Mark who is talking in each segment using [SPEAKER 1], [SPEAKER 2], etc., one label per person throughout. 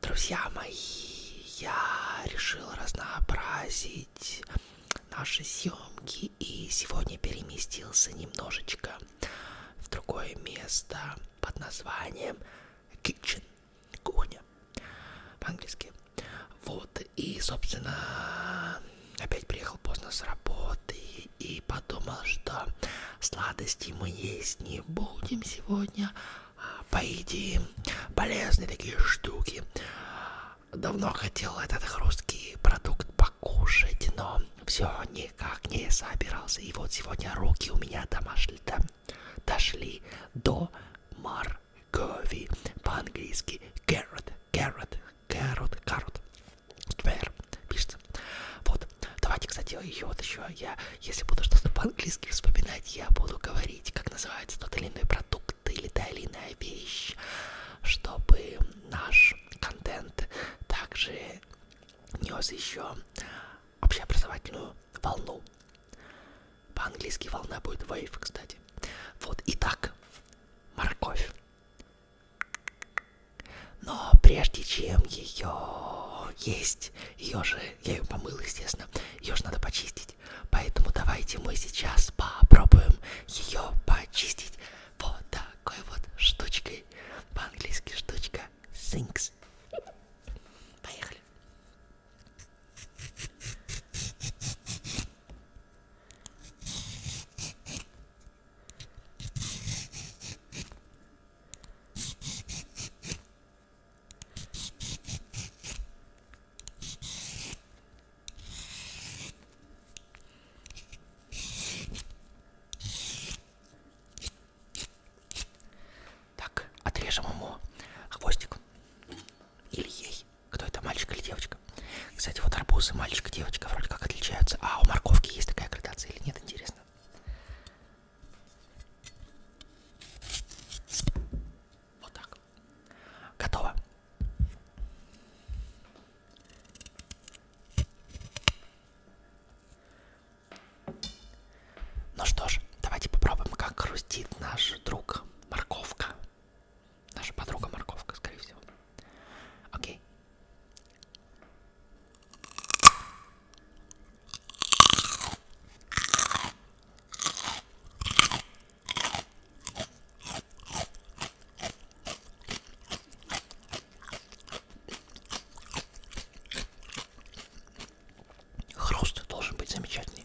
[SPEAKER 1] Друзья мои, я решил разнообразить наши съемки и сегодня переместился немножечко в другое место под названием kitchen, кухня по-английски. Вот, и, собственно, опять приехал поздно с работы и подумал, что сладости мы есть не будем сегодня, а поедим полезные такие штуки. Давно хотел этот хрусткий продукт покушать, но все никак не собирался. И вот сегодня руки у меня домашние, там, дошли до моркови, по-английски carrot, carrot, carrot, carrot, square, пишется. Вот, давайте, кстати, ее вот еще я, если буду что-то по-английски вспоминать, я буду говорить, как называется тот или иной продукт или та или иная вещь, чтобы наш контент также нес еще общеобразовательную волну. По-английски волна будет wave, кстати. Вот, итак, морковь. Но прежде чем ее есть, ее же, я ее помыл, естественно, ее же надо почистить. Поэтому давайте мы сейчас попробуем ее почистить вот такой вот штучкой. По-английски штучка sinks. Поехали. Так, отрежем ему хвостик. Или ей. Кто это, мальчик или девочка? Кстати, вот арбузы, мальчик и девочка вроде как отличаются. А у морковки есть такая градация или нет, интересно? Вот так. Готово. Ну что ж, давайте попробуем, как хрустит наш друг морковка. Наша подруга морковка, скорее всего. Окей. Хруст должен быть замечательный.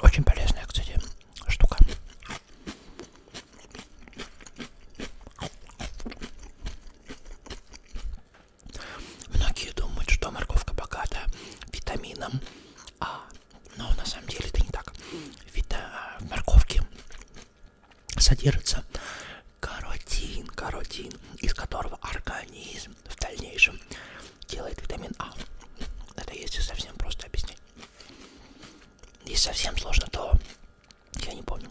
[SPEAKER 1] Очень полезная, кстати, штука. Многие думают, что морковка богата витамином А, но на самом деле это не так. Вита... А, в морковке содержится каротин, каротин, из которого организм в дальнейшем делает витамин А. Это если совсем просто объяснить. Если совсем сложно, то я не помню.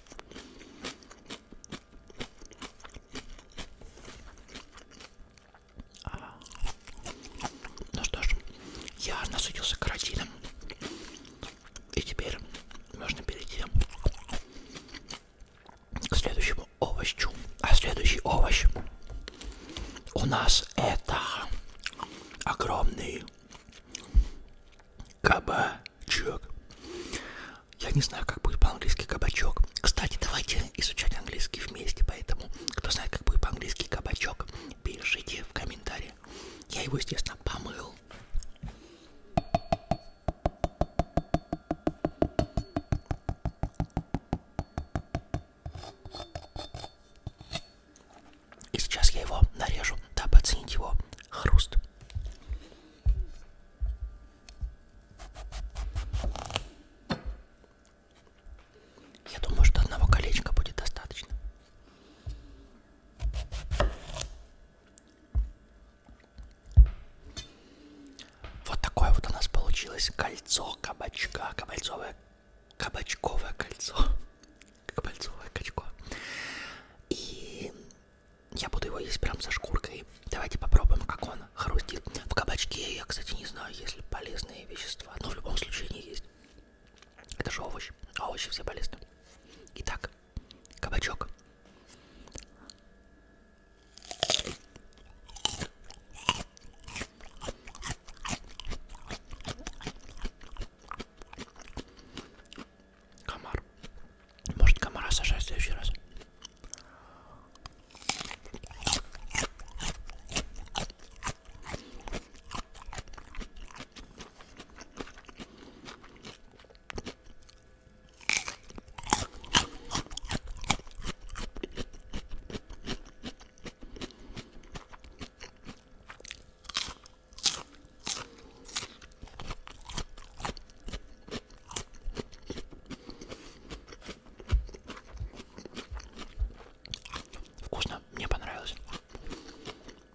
[SPEAKER 1] Ну что ж, я насытился каротином. И теперь можно перейти к следующему овощу. А следующий овощ у нас это огромный Кабачок. Я не знаю, как будет по-английски кабачок. Кстати, давайте изучать английский вместе, поэтому, кто знает, как будет по-английски кабачок, пишите в комментариях. Я его, естественно, помыл. И сейчас я его нарежу, дабы оценить его хруст. Я думаю, что одного колечка будет достаточно. Вот такое вот у нас получилось кольцо кабачка, кабальцовое, кабачковое кольцо как пальцевое качко. И я буду его есть прям со шкуркой. Давайте попробуем, как он хрустит. В кабачке я, кстати, не знаю, есть ли полезные вещества, но в любом случае не есть. Это же овощ, а овощи все полезны. Итак, кабачок. Комар. Может комара сажать в следующий раз. Вкусно, мне понравилось.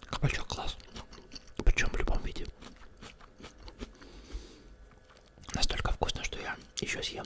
[SPEAKER 1] Кабачок класс. Причем в любом виде. Настолько вкусно, что я еще съем.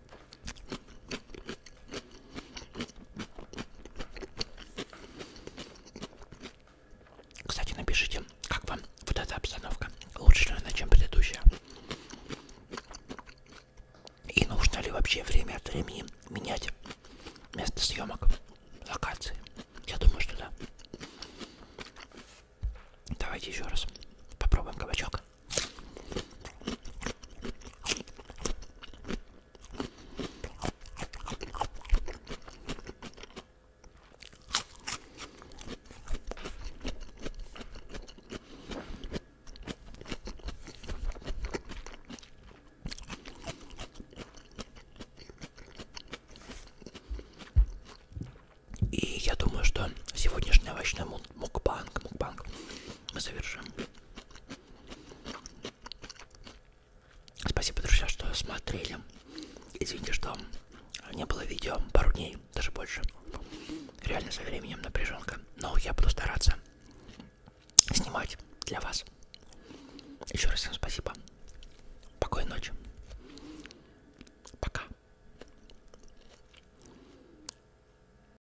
[SPEAKER 1] Кстати, напишите, как вам вот эта обстановка. Лучше ли она, чем предыдущая? И нужно ли вообще время от времени менять место съемок, локации? Я думаю, что да. Давайте еще раз попробуем кабачок. И я думаю, что сегодняшний овощной мукбанг, мукбанг мы завершим Спасибо, друзья, что смотрели. Извините, что не было видео пару дней, даже больше. Реально со временем напряженка. Но я буду стараться снимать для вас. Еще раз всем спасибо. Покойной ночи. Пока.